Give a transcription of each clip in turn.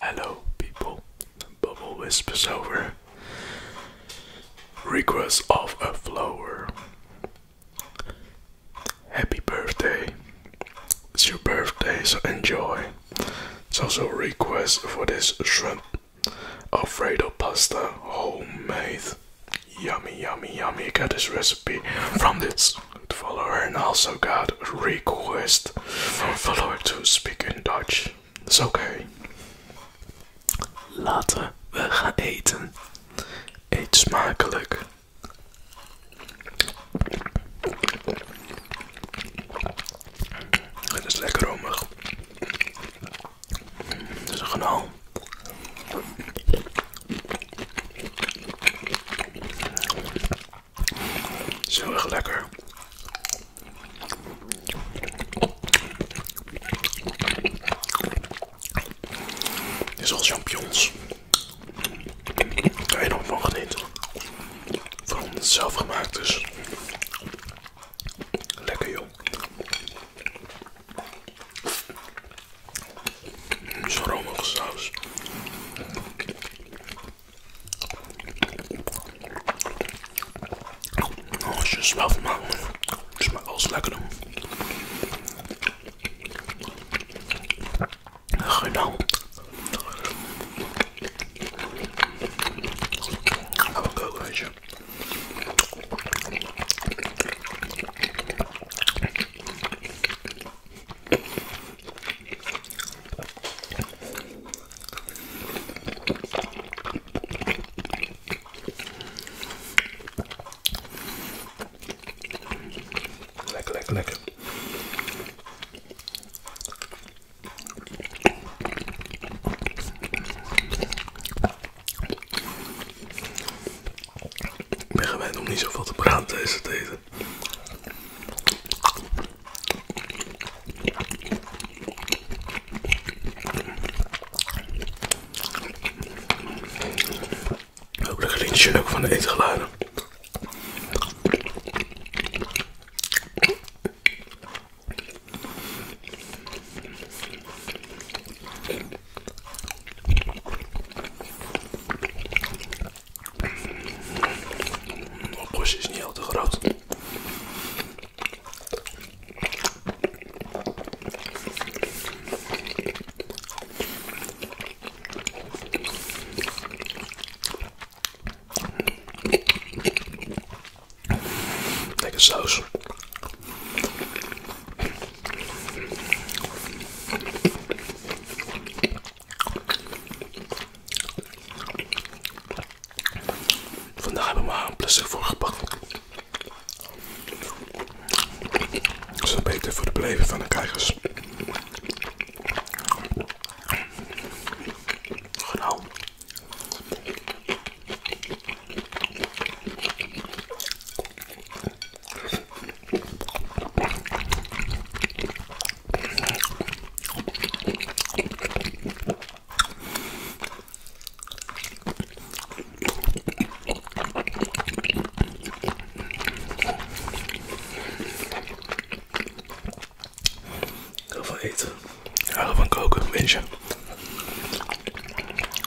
Hello, people. Bubble whispers over. Request of a flower. Happy birthday. It's your birthday, so enjoy. It's also a request for this shrimp Alfredo pasta homemade. Yummy, yummy, yummy. got this recipe from this follower and also got a request in Dutch. Laten we gaan eten. Eet smakelijk. Het is lekker romig. Het is zo erg lekker. Dit is al champignons. Ik weet nog van genieten. Vooral omdat het zelf gemaakt is. Lekker joh. Zo'n romige saus. Nog eens wel van maken. Het smaakt wel lekker. Genau. Maar koken, weet Lekker, lekker, lekker. Ik ben gewend om niet zoveel te praten deze het ook de glinchen ook van de eten eetgeluiden. De portie is niet heel groot. Lekker saus. Vandaag hebben we maar een plastic voor gepakt. beter voor de beleving van de kijkers. Genau. Heel veel eten. Heel van koken, mensen.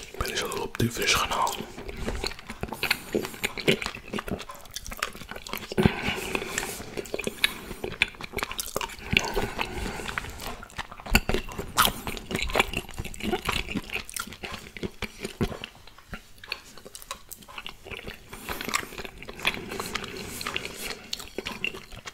Ik ben eens al op de vis gaan halen.